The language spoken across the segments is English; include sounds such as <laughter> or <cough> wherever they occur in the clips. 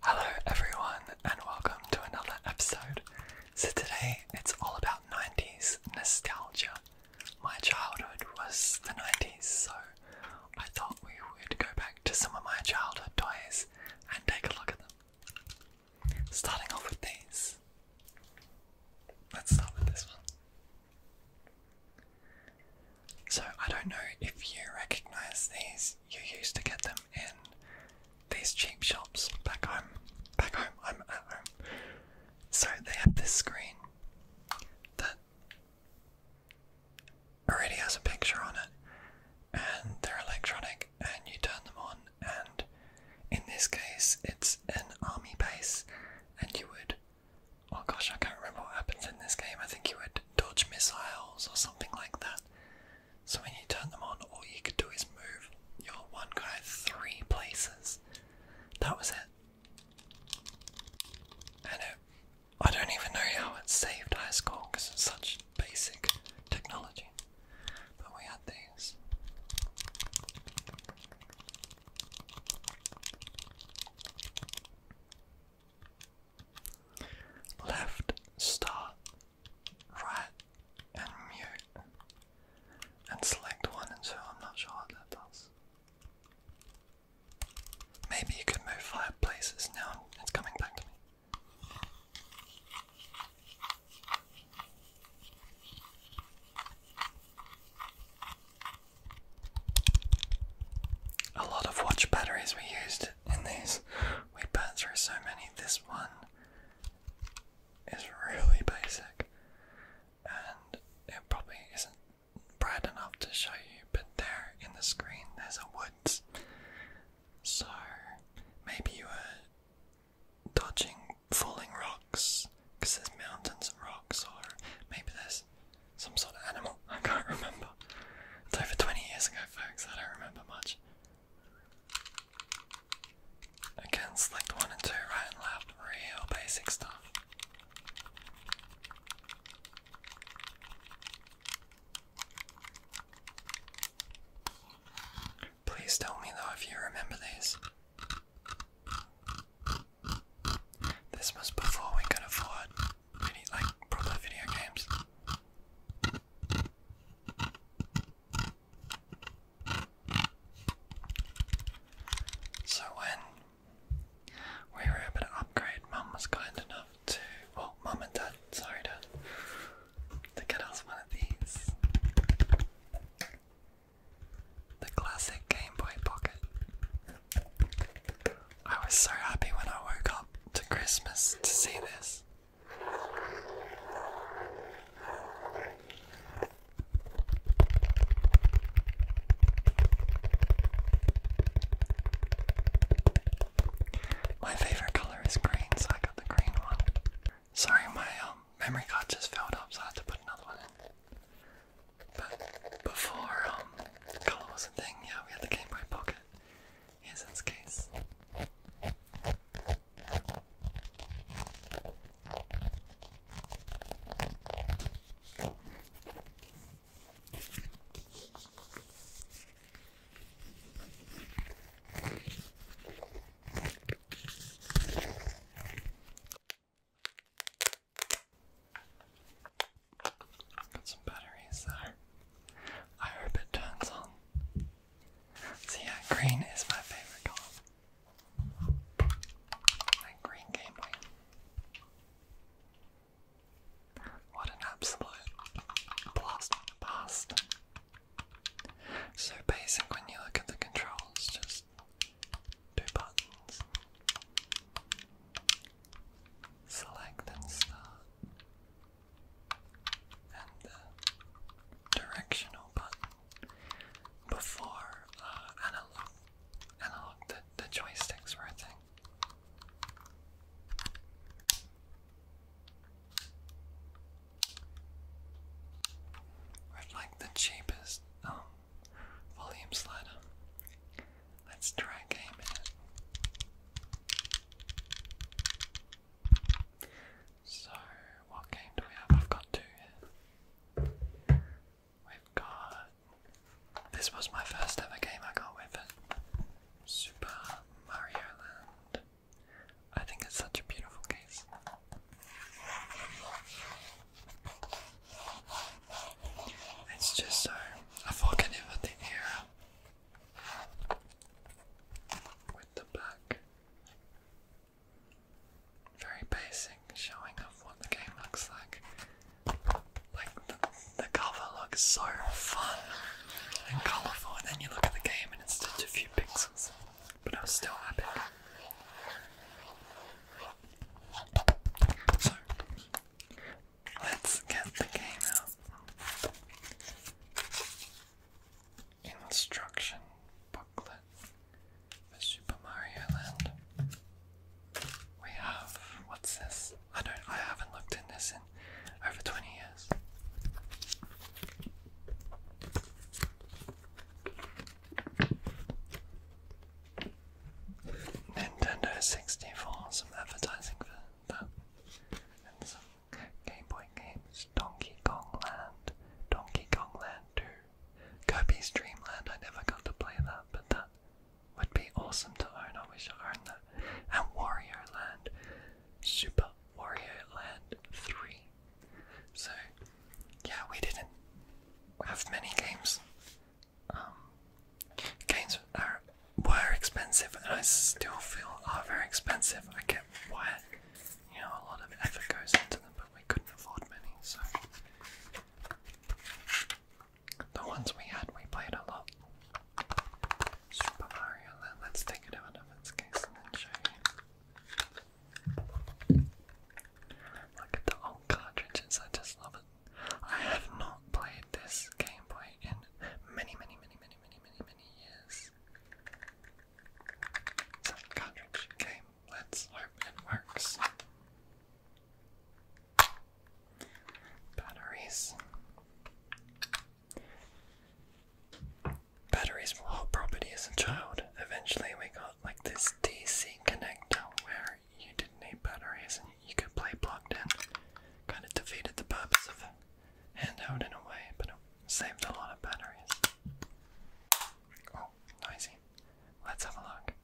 Hello, everyone, and welcome to another episode. So, today it's all about 90s nostalgia. My childhood was the 90s, so I thought we would go back to some of my childhood toys and take a look at them. Starting off with these. Let's start with this one. So, I don't know if you recognize these, you used to get them in these cheap shops back home. Back home, I'm at home. So they have this screen that already has a picture on it, and they're electronic, and you turn them on, and in this case, it's an army base, and you would. Oh gosh, I can't remember what happens in this game. I think you would dodge missiles or something like that. So when you turn them on, all you could do is move your one guy three places. That was it. And it, I don't even know how it saved high school because it's such basic technology. But we had these. Left, start, right, and mute. And select one and two, I'm not sure what that does. Maybe you could move five now, it's coming back to me. A lot of watch batteries were used fast in these. We have burnt through so many. This one is really basic, and it probably isn't bright enough to show you. But there in the screen, there's a wood. So maybe you were dodging falling rocks because there's mountains and rocks, or maybe there's some sort of animal. <laughs> I can't remember. It's over 20 years ago, folks. I don't remember much. Again, select one and two, right and left. Real basic stuff. Please tell me though if you remember these. This was before we could afford video, like proper video games. So when we were able to upgrade, Mum was kind enough to, well, Mum and Dad, sorry Dad, to get us one of these. The classic Game Boy Pocket. I was so happy when I woke up to Christmas to see this. My favorite color is green, so I got the green one. Sorry, my um, memory card just filled up, so I had to put another one in. But before um, color was yeah, we had the Game Boy Pocket. Yes, that's case. Got some batteries there. I hope it turns on. So yeah, green is my favorite color. That green gameplay. What an absolute blast So basic when you look at the controls, just two buttons select and start, and the directional button. Before uh, analog, analog the, the joysticks were a thing. With like the cheapest um, volume slider. Let's try a it. So, what game do we have? I've got two We've got. This was my first ever game I got with it. Super Mario Land. I think it's such a beautiful case. It's just so fucking everything here with the black. Very basic, showing off what the game looks like. Like the, cover looks so fun and colourful, and then you look at the game and it's just a few pixels, but it was still epic. So Let's get the game out. Instruction booklet for Super Mario Land. We have what's this? I don't I haven't looked in this in over 20 years. Nintendo 64, some advertising for that. And some Game Boy games. Donkey Kong Land. Donkey Kong Land 2. Kirby's Dream Land, I never got to play that, but that would be awesome to own. I wish I owned that. And Warrior Land. Super Warrior Land 3. So, yeah, we didn't have many games um, games are were expensive, and I still feel are very expensive. I get why you know a lot of effort goes into them, but we couldn't afford many, so the ones we had, we played a lot. Super Mario Let's take it out of its case and then show you. Look at the old cartridges. I just love it. I have not played this gameplay in many, many, many, many, many, many, many years. It's a cartridge game. Let's hope it works. Batteries. Batteries were our property as a child. Eventually, we got like this DC connector where you didn't need batteries and you could play plugged in. Kind of defeated the purpose of a handout in a way, but it saved a lot of batteries. Oh, noisy. Let's have a look.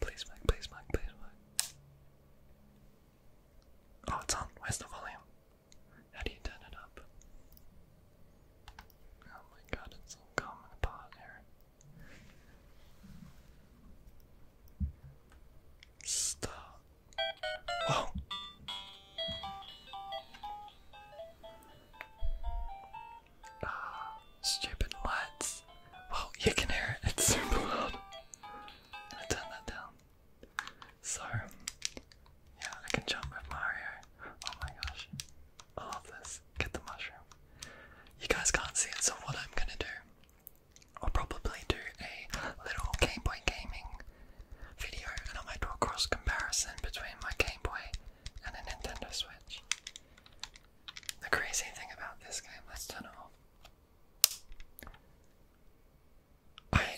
Please, Mike, please, Mike, please, Mike. Oh, it's on. Where's the volume? How do you turn it up? Oh my god, it's all coming apart here. Stop. Whoa. Ah, stupid lights. Well, you can hear it. It's super loud. turn that down. So, yeah, I can jump with Mario. Oh my gosh all oh, of this. Get the mushroom. You guys can't see it, so what I'm gonna do, I'll probably do a little Game Boy gaming video, and I might do a cross comparison between my Game Boy and a Nintendo Switch. The crazy thing about this game, let's turn it off.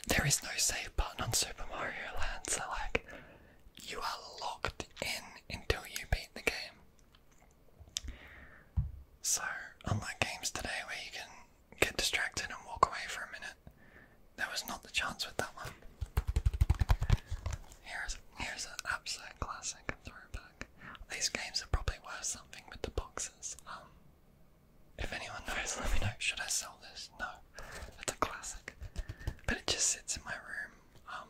there is no save button on Super Mario Land, so like, you are locked in until you beat the game. So, unlike games today where you can get distracted and walk away for a minute, there was not the chance with that one. Here's here's an absolute classic throwback. These games are probably worth something with the boxes. Um, if anyone knows, let me know. Should I sell this? No, it's a classic. But it just sits in my room um,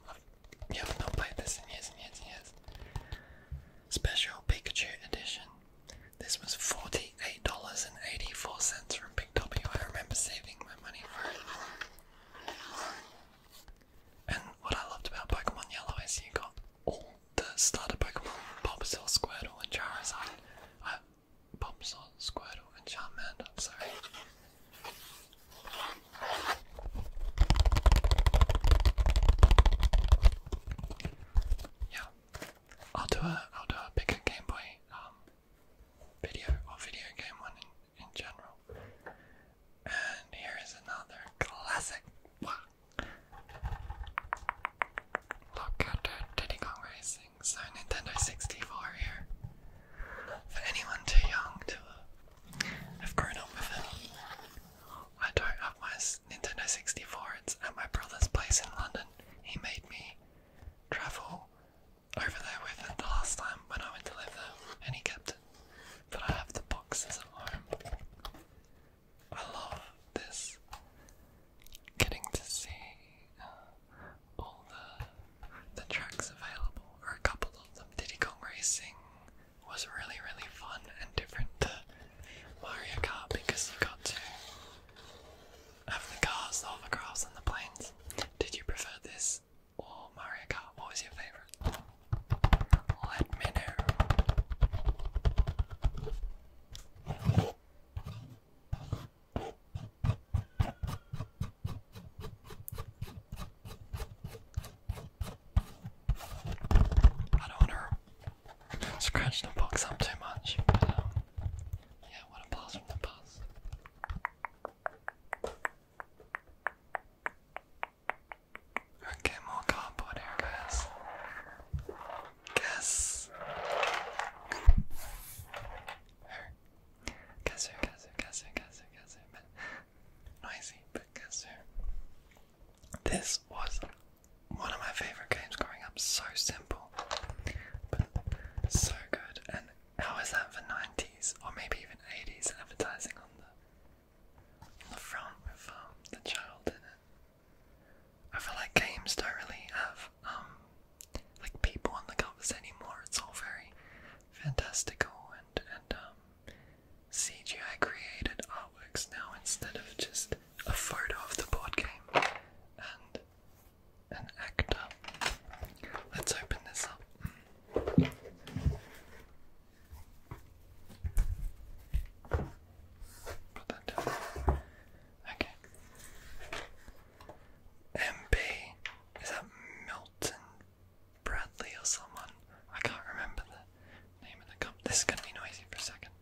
yeah, I've not played this in years and years and years. Special Pikachu Edition. This was $48.84 from Big W. I remember saving my money for it. And what I loved about Pokemon Yellow is you got all the starter Pokemon Bulbasaur, Squirtle, and Charizard. Uh, Bulbasaur, Squirtle, and Charmander, sorry. I'll do a I'll do a bigger Game Boy um video or video game one in, in general. And here is another classic. Look at the Diddy Kong Racing. So Nintendo 64 here. For anyone too young to I've grown up with it. I don't have my Nintendo 64, it's at my brother's place in London. He made me travel over there with it the last time when I went to live there, and he kept it. But I have the boxes at home. I love this. Getting to see all the the tracks available, or a couple of them. Diddy Kong Racing was really, really fun and different to Mario Kart because you got to have the cars, the hovercrafts, and the planes. Did you prefer this or Mario Kart? What was your favourite? Let me know. I don't want to scratch the box up too much, um, yeah, what a from the past. Okay, more cardboard here, guys. Guess. Guess who, guess who, guess who, guess who, guess who, noisy because uh, this was one of my favorite games growing up. So simple, but so good. And how is that for nineties or maybe even eighties advertising on the on the front with um, the child in it? I feel like games don't really have um, like people on the covers anymore. It's all very fantastical and, and um, CGI created artworks now instead of just a photo of the board game and an actor. Let's open this up. Okay. MB. Is that Milton Bradley or someone. I can't remember the name of the company. This is gonna be noisy for a second.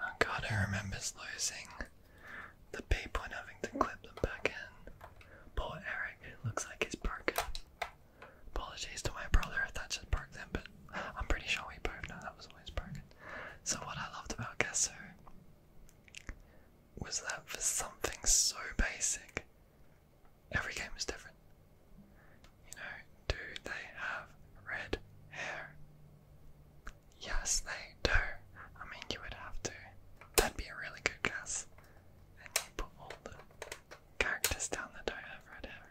Oh god, I remember losing the paper and having to clip them back in. Poor Eric, looks like he's broken. Apologies to my brother if that just broke them, but I'm pretty sure we both know that was always broken. So what I loved about Gesso was that for something so basic, every game is different. You know, do they have red hair? Yes, they do. I mean, you would have to. That'd be a really good guess. And you put all the characters down that don't have red hair.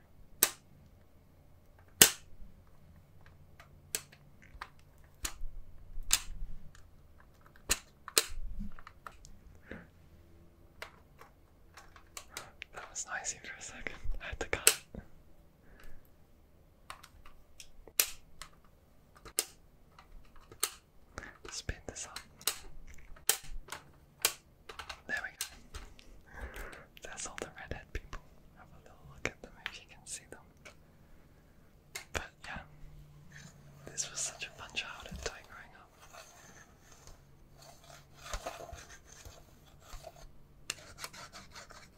That was nice for a second. had to cut it. this up. There we go. There's all the redhead people. Have a little look at them if you can see them yeah, this was such a fun childhood time growing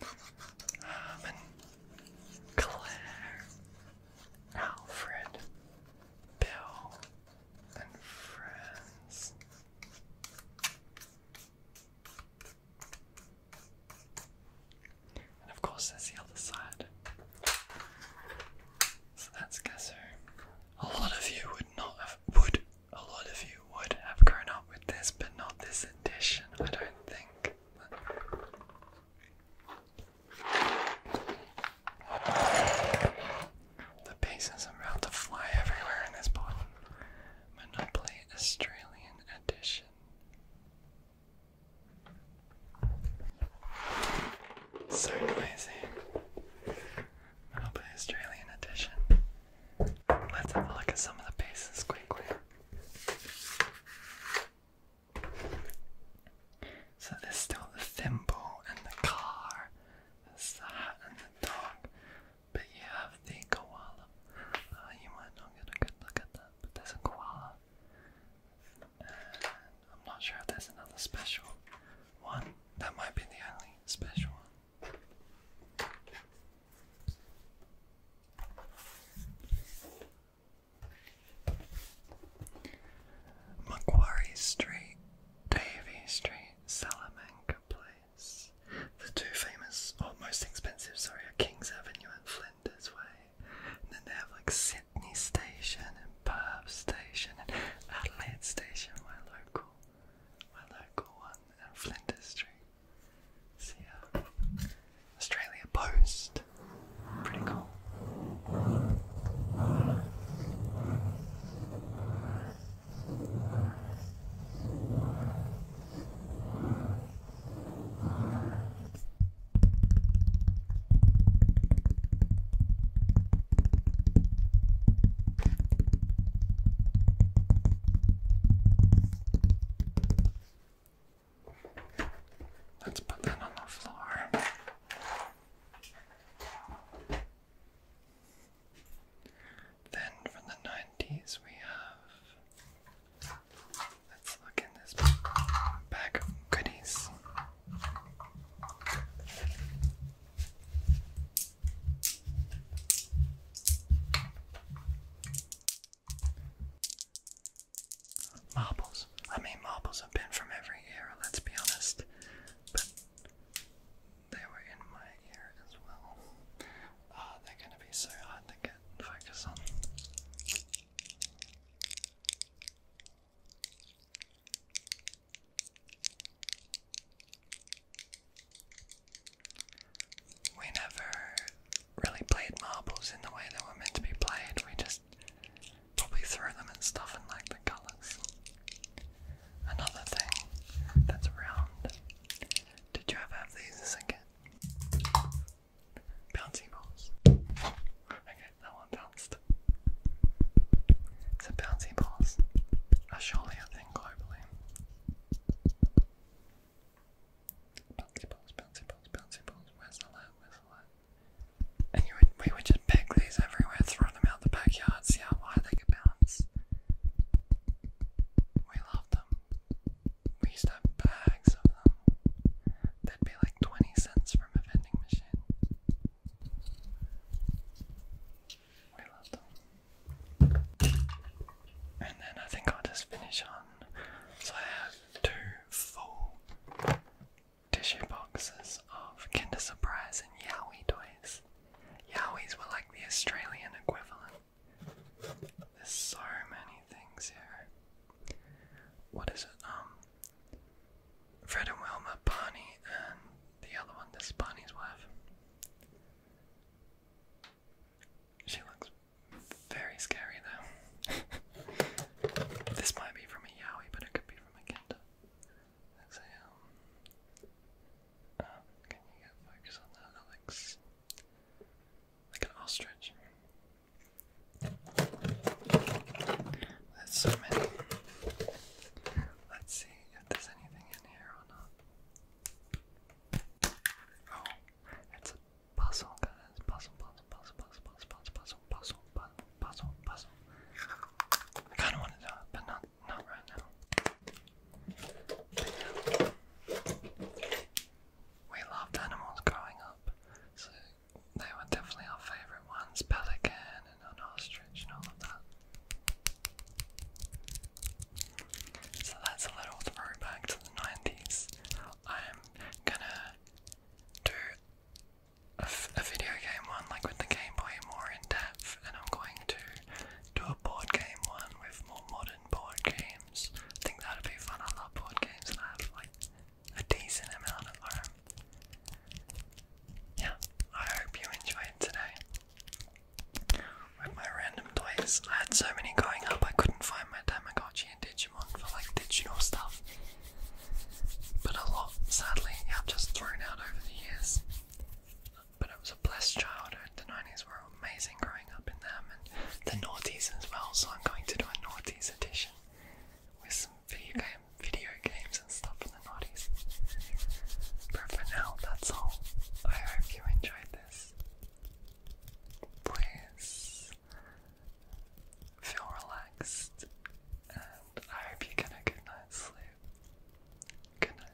up. Herman, um, Claire, Alfred, Bill, and friends. And of course, there's the other side. So that's Gasser. A lot of you would not have would a lot of you would have grown up with this, but not this edition, I don't think. The pieces are about to fly everywhere in this pod. Monopoly Australian edition. So noisy. I'll play Australian edition. Let's have a look at some of the bases quickly. So there's still the thimble and the car. There's the hat and the dog. But you have the koala. Uh, you might not get a good look at that, but there's a koala. I'm not sure if there's another special one. That might be the only special one. Macquarie Street, Davy Street, Salamanca Place. The two famous, or most expensive, sorry, Kings Avenue and Flinders Way then they have like Sydney Station and Perth Station and Adelaide Station, my local, my local one, and Flinders Street. See ya. Australia Post. Pretty cool. Let's put that on the floor. Then from the 90s we have Let's look in this bag of goodies. Marbles. I mean, marbles have been from every era, let's be honest, but they were in my ear as well. Uh, they're going to be so hard to get focus on. We never really played marbles in the way they were meant to be played. We just probably threw them and stuff and like the colours. Another thing that's round. Did you ever have these as bouncy balls. Okay, that one bounced. So bouncy balls are surely a globally. Bouncy balls, bouncy balls, bouncy balls. Where's the light? Where's the light? And we would just peg these everywhere, throw them out the backyard, see how high they could bounce. We love them we used to have bags of them. That'd be like 20 cents from a vending machine. We love them. And then I think I'll just finish on. So I have two full tissue boxes of Kinder Surprise and Yowie toys. Yowies were like the Australian equivalent there's so many things here. What is it? Um, Fred and Wilma, Barney, and the other one. This is Barney's wife. She looks very scary though. <laughs> this might be from a Yowie, but it could be from a Kinder. Um, uh, can you focus on that, Alex? Like an ostrich. That's so many. Let's see if there's anything in here or not. Oh, it's a puzzle, guys. Puzzle, puzzle, puzzle, puzzle, puzzle, puzzle, puzzle, puzzle, puzzle, puzzle, puzzle. I kind of want to do it, but not, not right now we loved animals growing up, so they were definitely our favourite ones, pelican and an ostrich and all of that. So that's a little throwback to the 90s. I'm gonna do a, video game one, like with the Game Boy, more in depth, and I'm going to do a board game one with more modern board games. I think that'd be fun. I love board games I have like a decent amount of them. Yeah, I hope you enjoyed today. With my random toys, I had so many growing up I couldn't find my Tamagotchi and Digimon for like digital stuff. But a lot, sadly, I've just thrown out over the years. But it was a blessed childhood. The 90s were amazing growing up in them and the noughties as well, so I'm going to do a noughties edition with some video game video games and stuff from the noughties. But for now that's all. I hope you enjoyed this. Please feel relaxed and I hope you get a good night's sleep. Good night.